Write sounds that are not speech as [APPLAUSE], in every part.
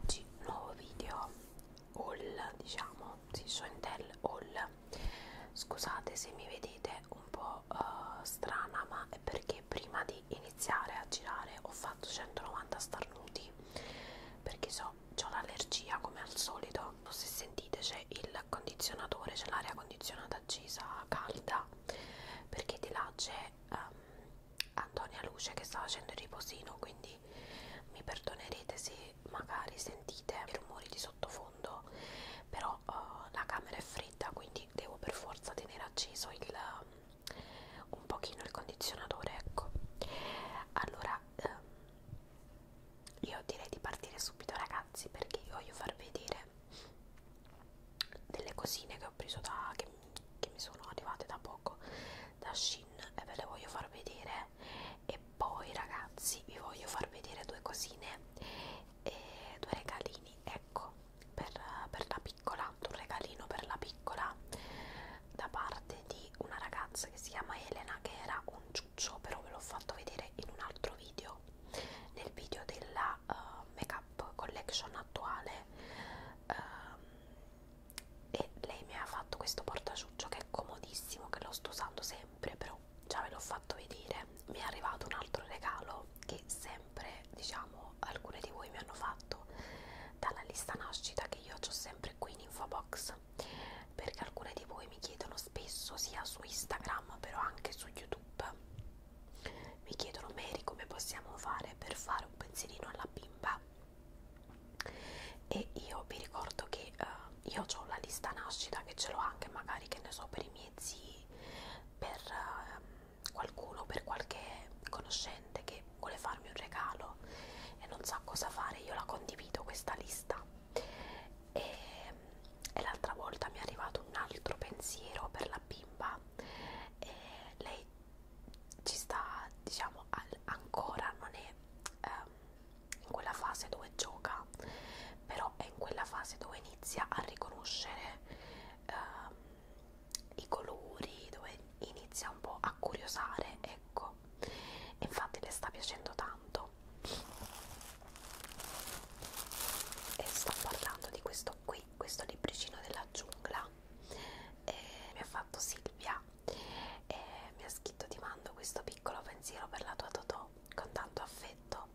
Oggi un nuovo video haul, diciamo, sì, Shointel haul. Scusate se mi vedete un po' uh, strana, ma è perché prima di iniziare a girare ho fatto 190 starnuti perché so, ho l'allergia come al solito. Se sentite c'è il condizionatore, c'è l'aria condizionata accesa calda perché di là c'è um, Antonia Luce che sta facendo il riposino quindi mi perdonerete se magari sentite i rumori di sottofondo però uh, la camera è fredda quindi devo per forza tenere acceso il, um, un pochino il condizionatore ecco allora um, io direi di partire subito ragazzi perché io voglio farvi vedere delle cosine che ho preso da che, che mi sono arrivate da poco da Shin e ve le voglio far vedere e poi ragazzi vi voglio far vedere due cosine e due regalini ecco per, per la piccola un regalino per la piccola da parte di una ragazza che si chiama Elena che era un ciuccio però ve l'ho fatto vedere in un altro video nel video della uh, eh, make up collection attuale uh, e lei mi ha fatto questo portaciuccio che è comodissimo, che lo sto usando sempre, però già ve l'ho fatto vedere. Mi è arrivato un altro regalo che sempre, diciamo, alcune di voi mi hanno fatto dalla lista nascita che io ho sempre qui in infobox, perché alcune di voi mi chiedono spesso sia su Instagram, però anche su YouTube. Mi chiedono Mary come possiamo fare per fare un pensierino alla bimba e io vi ricordo che uh, io ho la lista nascita che ce l'ho anche magari che ne so per i miei zii per uh, qualcuno per qualche conoscente che vuole farmi un regalo e non sa cosa fare io la condivido questa lista e, e l'altra volta mi è arrivato un altro pensiero per la bimba e lei ci sta diciamo al, ancora non è ehm, in quella fase dove gioca però è in quella fase dove inizia a riconoscere ehm, i colori dove inizia un po' a curiosare ecco infatti le sta piacendo tanto e sto parlando di questo qui questo libricino della giungla e mi ha fatto Silvia e mi ha scritto ti mando questo piccolo pensiero per la tua Totò con tanto affetto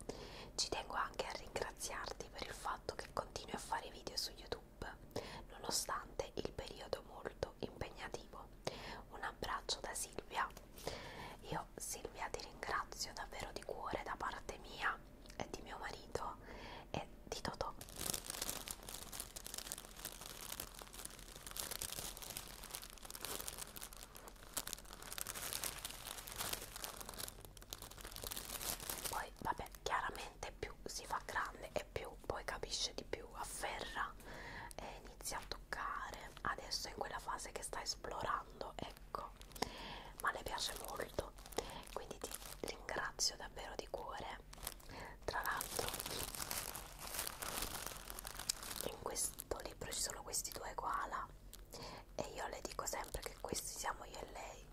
ci tengo anche a ringraziarti per il fatto che continui a fare video su YouTube nonostante il periodo molto impegnativo un abbraccio da Silvia io Silvia ti ringrazio davvero di cuore da parte mia e di mio marito è di Totò. Poi, vabbè, chiaramente più si fa grande e più poi capisce di più, afferra e inizia a toccare. Adesso è in quella fase che sta esplorando, ecco, ma le piace molto. Quindi ti ringrazio davvero di cuore tra l'altro in questo libro ci sono questi due koala e io le dico sempre che questi siamo io e lei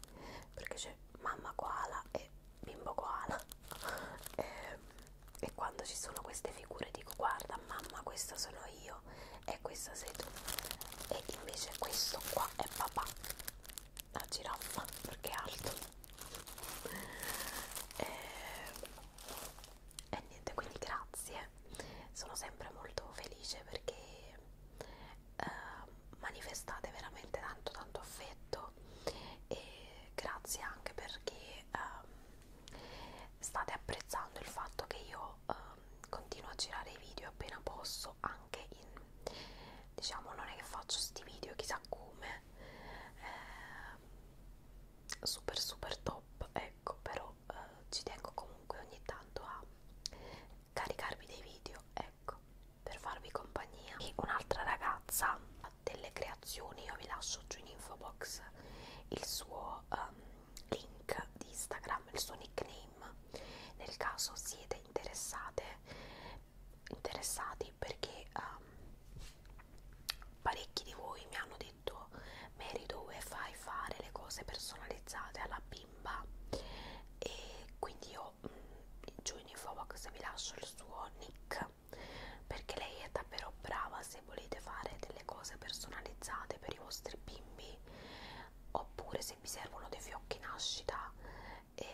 perché c'è mamma koala e bimbo koala [LAUGHS] e, e quando ci sono queste figure dico guarda mamma questa sono io e questa sei tu e invece questo qua è papà la giraffa perché è alto e, eh, e niente quindi grazie sono sempre molto felice perché eh, manifestate veramente tanto tanto affetto e grazie anche perché eh, state apprezzando il fatto che io eh, continuo a girare i video appena posso anche in diciamo non è che faccio sti video chissà come eh, super super top ecco però eh, ci tengo comunque ogni tanto a caricarvi dei video ecco per farvi compagnia e un'altra ragazza ha delle creazioni io vi lascio giù in info box il suo um, link di instagram il suo nickname nel caso siete interessate interessati perché um, parecchi di voi mi hanno detto Mary dove fai fare le cose personalizzate alla bimba e quindi io mh, mm, giù in info box vi lascio il suo nick perché lei è davvero brava se volete fare delle cose personalizzate per i vostri bimbi oppure se vi servono dei fiocchi nascita e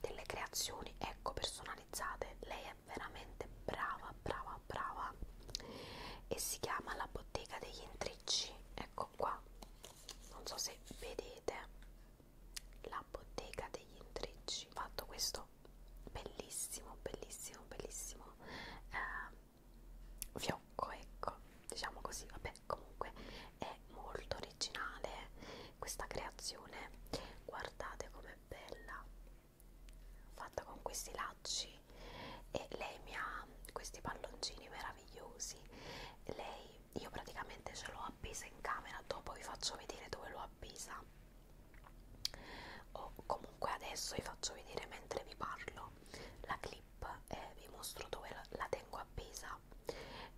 delle creazioni ecco personalizzate lei è veramente brava brava brava e si chiama la bottega degli intricci ecco qua non so se vedete la bottega degli intricci ho fatto questo bellissimo bellissimo bellissimo eh, fiocco ecco diciamo così vabbè comunque è molto originale questa creazione guardate com'è bella fatta con questi lacci e lei mi ha questi palloncini meravigliosi lei io praticamente ce l'ho appesa in camera dopo vi faccio vedere dove l'ho appesa o comunque adesso vi faccio vedere mentre vi parlo la clip e eh, vi mostro dove la tengo appesa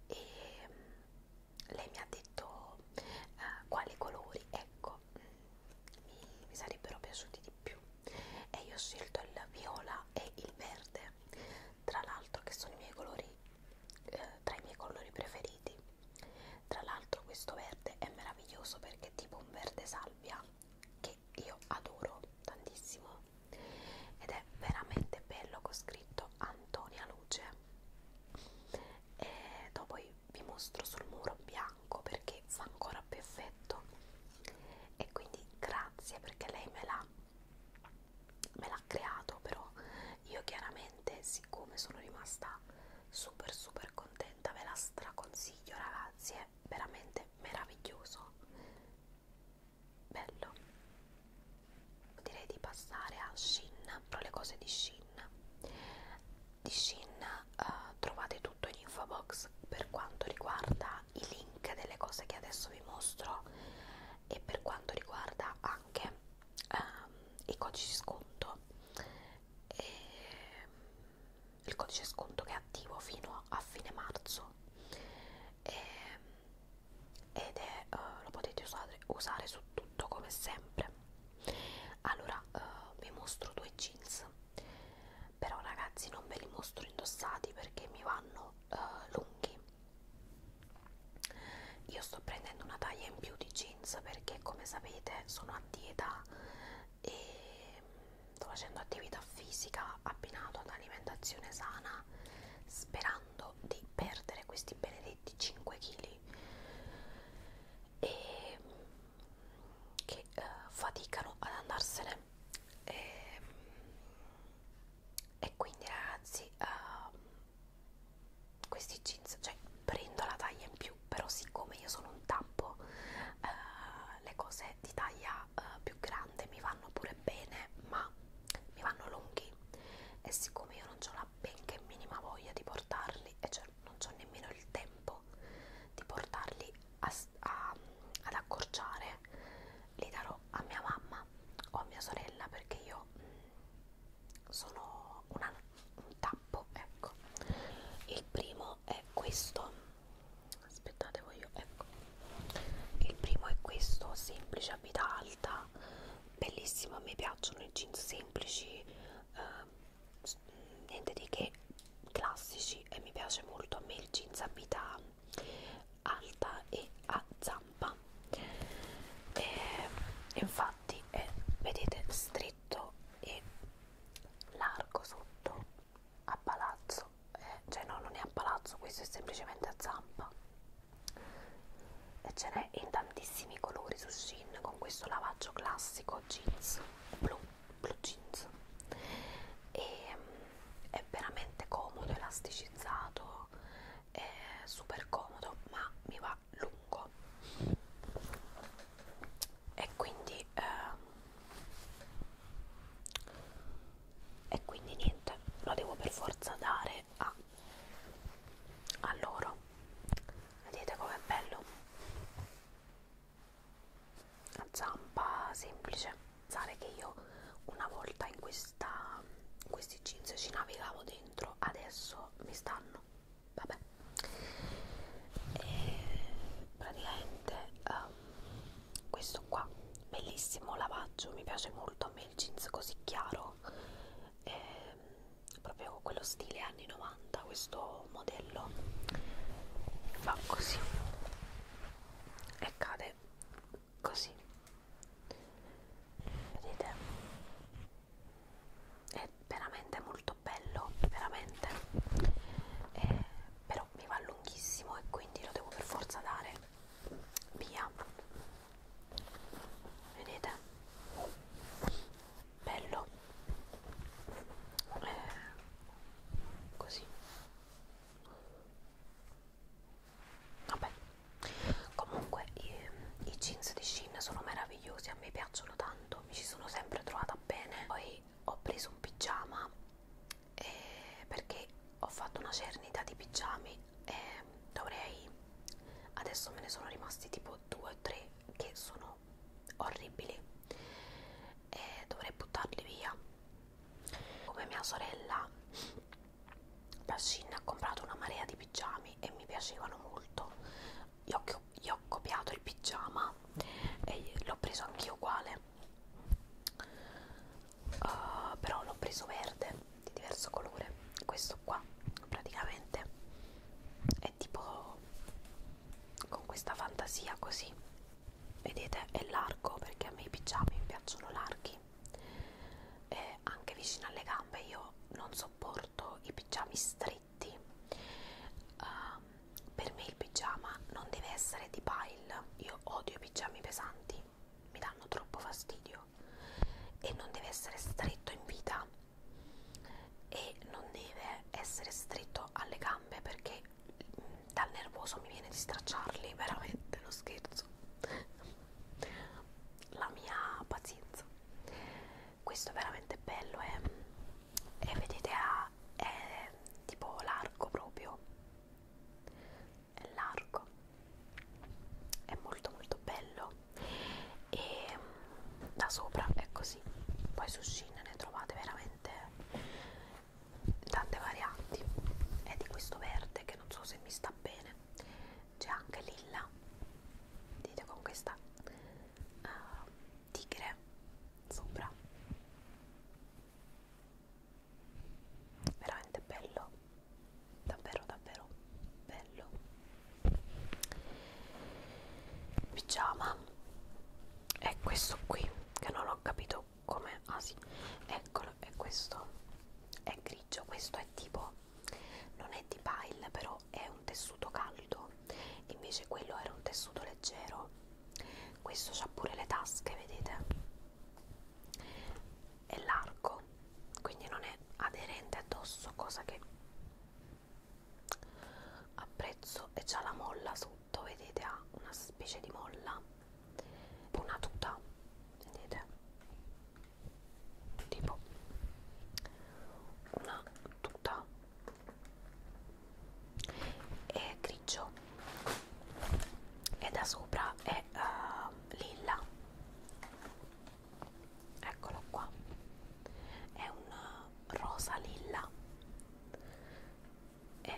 e lei mi ha detto uh, quali colori, ecco, mm, mi, mi sarebbero piaciuti di più e io ho scelto il viola e il verde, tra l'altro che sono i miei colori, eh, tra i miei colori preferiti, tra l'altro questo verde è meraviglioso perché è tipo un verde salvia che io adoro tantissimo ed è veramente bello con scritto Antonia Luce e dopo vi mostro sul muro bianco perché fa ancora più effetto e quindi grazie perché lei me l'ha me l'ha creato però io chiaramente siccome sono rimasta super super contenta ve la straconsiglio ragazzi è veramente meraviglioso bello direi di passare a Shin però le cose di Shin di Shin uh, trovate tutto in info box per quanto riguarda i link delle cose che adesso vi mostro e per quanto riguarda anche um, ehm, i codici sconto e il codice sconto che è attivo fino a fine marzo e ed è, uh, lo potete usare, usare su tutto come sempre allora uh, eh, vi mostro due jeans però ragazzi non ve li mostro indossati perché mi vanno uh, lunghi io sto prendendo una taglia in più di jeans perché come sapete sono a dieta e sto facendo attività fisica abbinato ad alimentazione sana sperando cercando di perdere questi benedetti 5 kg e che eh, faticano ad andarsene e, e quindi ragazzi uh, questi jeans cioè prendo la taglia in più però siccome io sono un tappo uh, le cose di taglia uh, più grande mi vanno pure bene ma mi vanno lunghi e siccome io non ho la benché minima voglia di portarli e cioè non ho nemmeno il tempo di portarli a, a, ad accorciare li darò a mia mamma o a mia sorella perché io mh, mm, sono una, un tappo ecco il primo è questo aspettate voglio ecco il primo è questo semplice a vita alta bellissimo a me piacciono i jeans semplici eh, niente di che classici e mi piace molto a me il jeans a vita alta e a zampa e, infatti è vedete stretto e largo sotto a palazzo eh, cioè no non è a palazzo questo è semplicemente a zampa e ce n'è in tantissimi colori su Shin con questo lavaggio classico jeans blu, blu jeans e mm, è veramente comodo, elasticizzato è super comodo ma mi va lungo e quindi eh, e quindi niente lo devo per forza dare a, a loro vedete com'è bello la zampa semplice pensare che io una volta in, questa, in questi jeans ci navigavo dentro adesso mi stanno vabbè e praticamente um, questo qua bellissimo lavaggio mi piace molto me il jeans così chiaro è ehm, proprio quello stile anni 90 questo modello va così e cade così vedete è veramente molto bello veramente eh, però mi va lunghissimo e quindi lo devo per forza dare via vedete bello eh, così vabbè comunque i, i jeans di Shin sono meravigliosi a me piacciono tanto mi ci sono sempre trovata bene poi ho preso un pigiama eh, perché ho fatto una cernita di pigiami eh, dovrei adesso me ne sono rimasti tipo due o tre che sono orribili e dovrei buttarli via come mia sorella Pascin ha comprato una marea di pigiami e mi piacevano molto gli ho, gli ho copiato il pigiama e l'ho preso anch'io uguale uh, però l'ho preso verde di diverso colore questo qua praticamente è tipo con questa fantasia così vedete è largo perché a me i pigiami piacciono larghi e anche vicino alle gambe io non sopporto i pigiami stretti uh, per me il pigiama non deve essere di pile io odio i pigiami pesanti mi danno troppo fastidio proprio e non deve essere stretto in vita e non deve essere stretto alle gambe perché mm, dal nervoso mi viene di stracciarli veramente lo scherzo la mia pazienza questo è veramente bello eh. e eh? eh, vedete ah, è tipo largo proprio è largo è molto molto bello e mm, da sopra è così poi su Shein ne trovate veramente tante varianti è di questo verde che non so se mi sta bene c'è anche lilla dite con questa uh, tigre sopra veramente bello davvero davvero bello pigiama è questo qui che non ho capito come ah sì eccolo è questo è grigio questo è tipo non è di pile però è un tessuto caldo invece quello era un tessuto leggero questo c'ha pure le tasche vedete è largo quindi non è aderente addosso cosa che apprezzo e c'ha la molla sotto vedete ha una specie di molla una tuta vedete tipo una tuta è grigio e da sopra è uh, lilla eccolo qua è un eh, rosa lilla è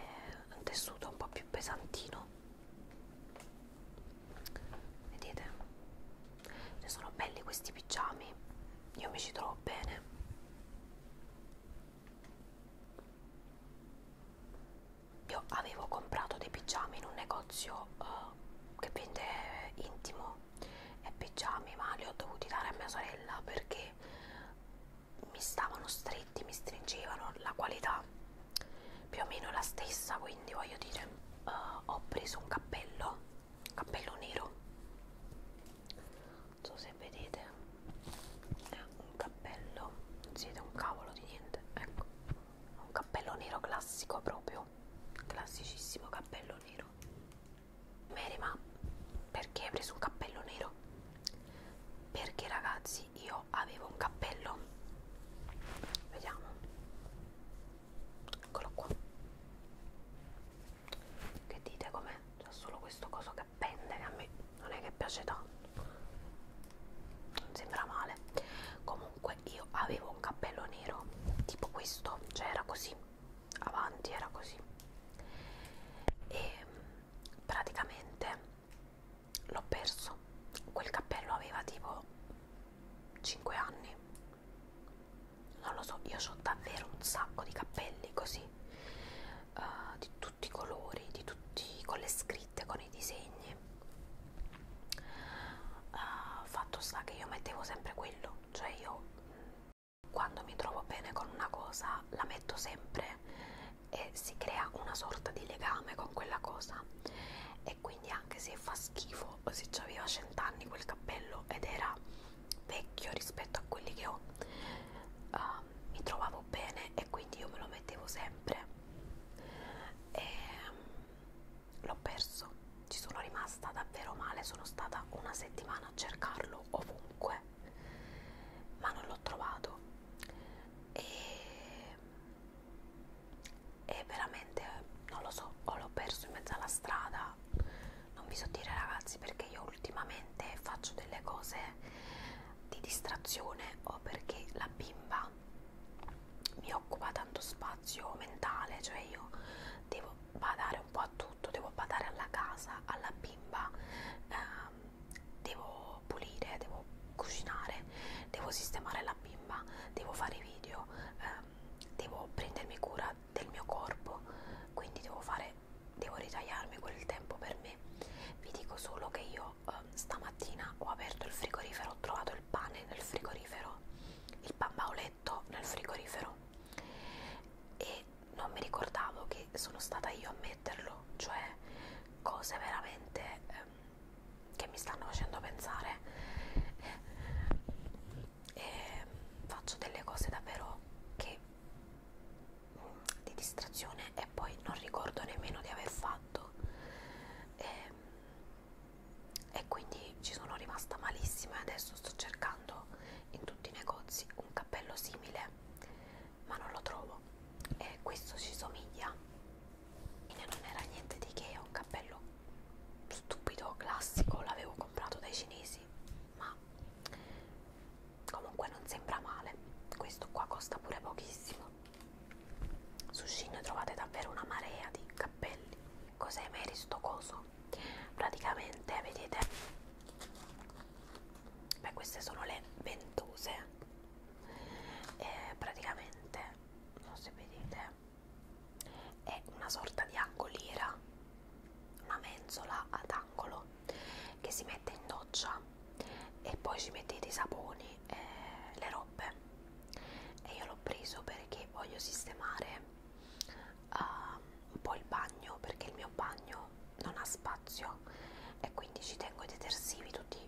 un tessuto un po' più pesantino vedete Ci sono belli questi pigiami io mi ci trovo bene io avevo comprato dei pigiami in un negozio uh, che vende intimo e pigiami ma li ho dovuti dare a mia sorella perché mi stavano stretti mi stringevano la qualità più o meno la stessa quindi voglio dire uh, ho preso un cappello cappello nero non so se vedete è un cappello non siete un cavolo di niente ecco un cappello nero classico proprio classicissimo cappello nero Mary ma perché hai preso un cappello nero? perché ragazzi io avevo un cappello vediamo eccolo qua che dite com'è? c'è solo questo coso che pende che a me non è che piace tanto non sembra male comunque io avevo un cappello nero tipo questo cioè era così avanti era così e praticamente l'ho perso quel cappello aveva tipo 5 anni non lo so io ho davvero un sacco di cappelli così uh, di tutti tutti i colori, di tutti, con le scritte, con i disegni. Uh, fatto sta che io mettevo sempre quello, cioè io mm, quando mi trovo bene con una cosa la metto sempre e si crea una sorta di legame con quella cosa e quindi anche se fa schifo o se aveva 100 anni quel cappello ed era vecchio rispetto a quelli che ho uh, mi trovavo bene e quindi io me lo mettevo sempre e mm, l'ho perso ci sono rimasta davvero male sono stata una settimana a cercarlo ovunque ma non l'ho trovato e, e veramente non lo so o l'ho perso in mezzo alla strada non vi so dire ragazzi perché io ultimamente faccio delle cose di distrazione o perché la bimba mi occupa tanto spazio mentale, cioè io devo badare un po' a tutto, devo badare alla casa, alla bimba, eh, devo pulire, devo cucinare, devo sistemare la bimba, devo fare i video, eh, devo prendermi cura del mio corpo, quindi devo fare, devo ritagliarmi quel tempo per me. Vi dico solo che io io eh, stamattina ho aperto il frigorifero, ho trovato il pane nel frigorifero, il pan bauletto nel frigorifero e non mi ricordavo che sono stata io a metterlo, cioè cose veramente eh, che mi stanno facendo pensare e faccio delle cose davvero che mm, di distrazione e poi non ricordo nemmeno di aver fatto fatto e, ehm, e quindi ci sono rimasta malissima e adesso sto cercando in tutti i negozi un cappello simile ma non lo trovo e questo ci somiglia e non era niente di che è un cappello stupido classico l'avevo comprato dai cinesi ma comunque non sembra male questo qua costa pure pochissimo su Shein trovate davvero una marea di cappelli. Cos'è Mary sto coso? Praticamente, vedete? Beh, queste sono le ventose. E praticamente, non so se vedete, è una sorta di angoliera, una mensola ad angolo che si mette in doccia e poi ci mettete i saponi e le robe e io l'ho preso perché voglio sistemare uh, un po' il bagno perché il mio bagno non ha spazio e quindi ci tengo i detersivi tutti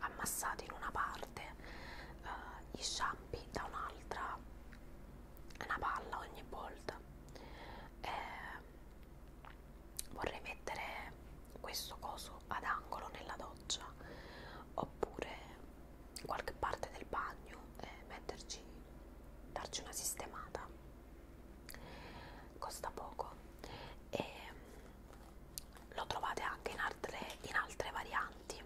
ammassati in una parte uh, gli shampoo da un'altra è una palla ogni volta eh, vorrei mettere questo coso ad angolo nella doccia oppure qualche parte del bagno e metterci darci una sistemata costa poco e mm, lo trovate anche in altre, in altre varianti eh,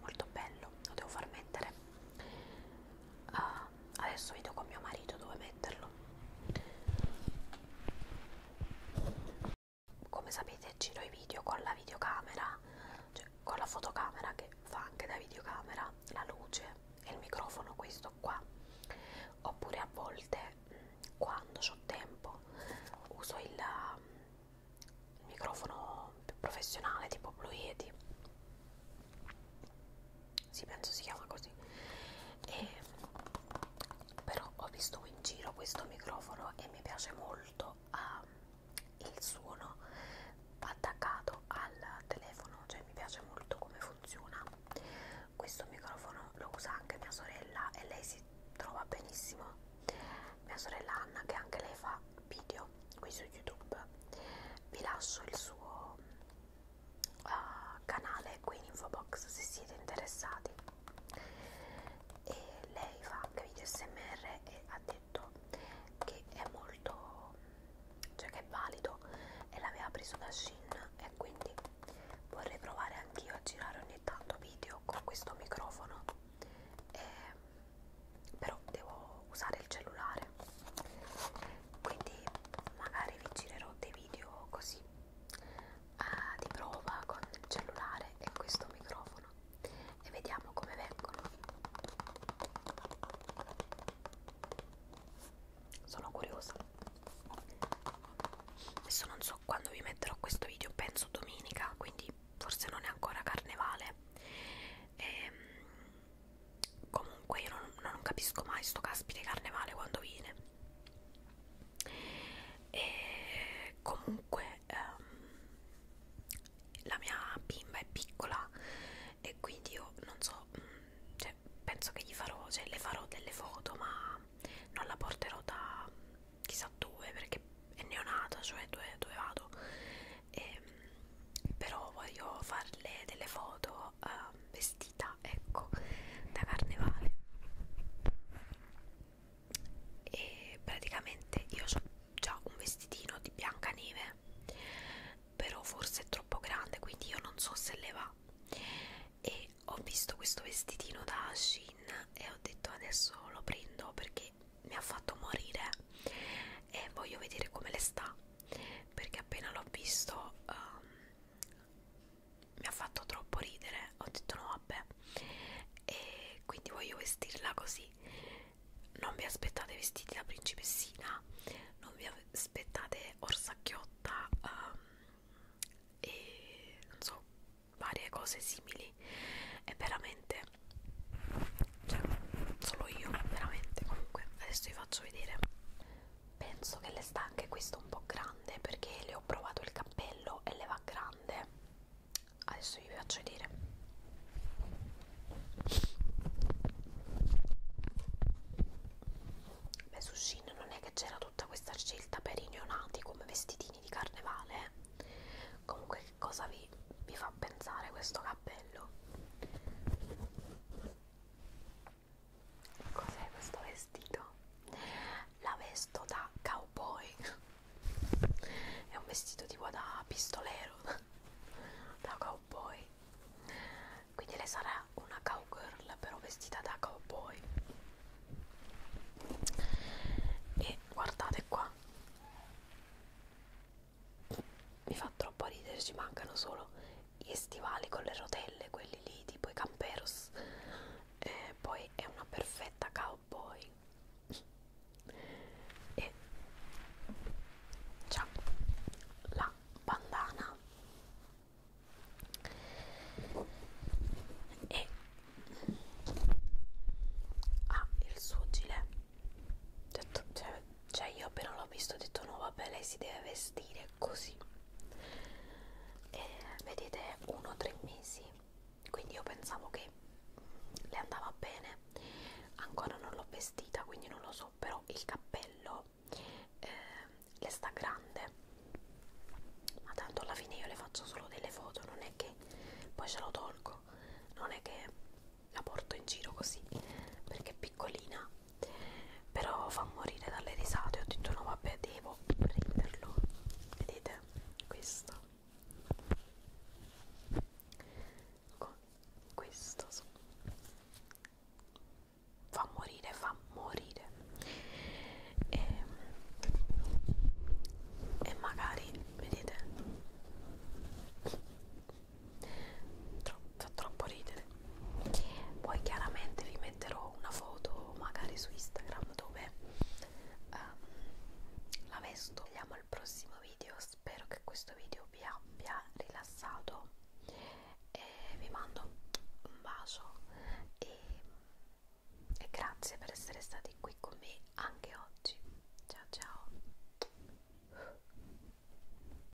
molto bello lo devo far mettere uh, adesso vedo con mio marito dove metterlo come sapete giro i video con la videocamera cioè con la fotocamera che fa anche da videocamera la luce e il microfono questo qua oppure a volte mm, quando ho tempo uso il, mm, il microfono più professionale tipo Blue Yeti sì penso si chiama così e, però ho visto in giro questo microfono e mi piace molto uh, il suono attaccato al telefono cioè mi piace molto come funziona questo microfono lo usa anche mia sorella e lei si trova benissimo mia sorella Anna che anche lei fa video qui su youtube vi lascio il suo uh, canale qui in info box se siete interessati e lei fa anche video smr e ha detto che è molto cioè che è valido e l'aveva preso da Shin e quindi vorrei provare anch'io a girare ogni tanto video con questo microfono e, però devo usare il cellulare quindi magari vi girerò dei video così uh, di prova con il cellulare e questo microfono e vediamo come vengono sono curiosa adesso non so quando vi metterò questo video penso domenica quindi forse non è ancora carnevale ehm, comunque io non, non capisco mai sto caspite carnevale quando viene e comunque ehm, la mia bimba è piccola e quindi io non so mm, cioè, penso che gli farò cioè le farò delle foto ma non la porterò da mm, chissà dove perché è neonata cioè dove, dove vado e, ehm, però voglio farle delle foto po' ehm, uh, vestita ecco da carnevale e praticamente io ho già un vestitino di biancaneve però forse è troppo grande quindi io non so se le va e ho visto questo vestitino da Shein e ho detto adesso lo prendo perché mi ha fatto morire e voglio vedere come le sta perché appena l'ho visto um, mi ha fatto troppo ridere ho detto no vabbè e quindi voglio vestirla così non vi aspettate vestiti da principessina non vi aspettate orsacchiotta um, e non so varie cose simili è veramente cioè solo io veramente comunque adesso vi faccio vedere penso che le sta anche questo un po' grande perché le ho provato il cappello e le va grande adesso vi faccio vedere beh su Shein non è che c'era tutta questa scelta per i neonati come vestitini di carnevale eh. comunque che cosa vi, vi fa pensare questo cappello Cos'è questo vestito? La vesto da cowboy. È un vestito tipo da pistolero, [LAUGHS] da cowboy. Quindi lei sarà una cowgirl, però vestita da cowboy. E guardate qua. Mi fa troppo ridere, ci mancano solo gli stivali con le rotelle, quelli lì tipo i camperos, eh, poi è una perfetta cowboy e c'ha la bandana e ha il suo gilet cioè, cioè cioè io appena l'ho visto ho detto no vabbè lei si deve vestire così e vedete uno o tre mesi quindi io pensavo che le andava bene ancora non l'ho vestita quindi non lo so però il cappello eh, le sta grande ma tanto alla fine io le faccio solo delle foto non è che poi ce lo tolgo non è che la porto in giro così perché è piccolina però fa morire dalle risate ho detto no vabbè devo prenderlo vedete questo con questo so. fa morire fa morire e, ehm, e magari vedete Tro fa troppo ridere. Poi chiaramente vi metterò una foto magari su Instagram dove um, la vesto. Vediamo al prossimo video, spero che questo video vi abbia rilassato e vi mando un bacio e, e grazie per essere stati qui con me anche oggi. Ciao ciao.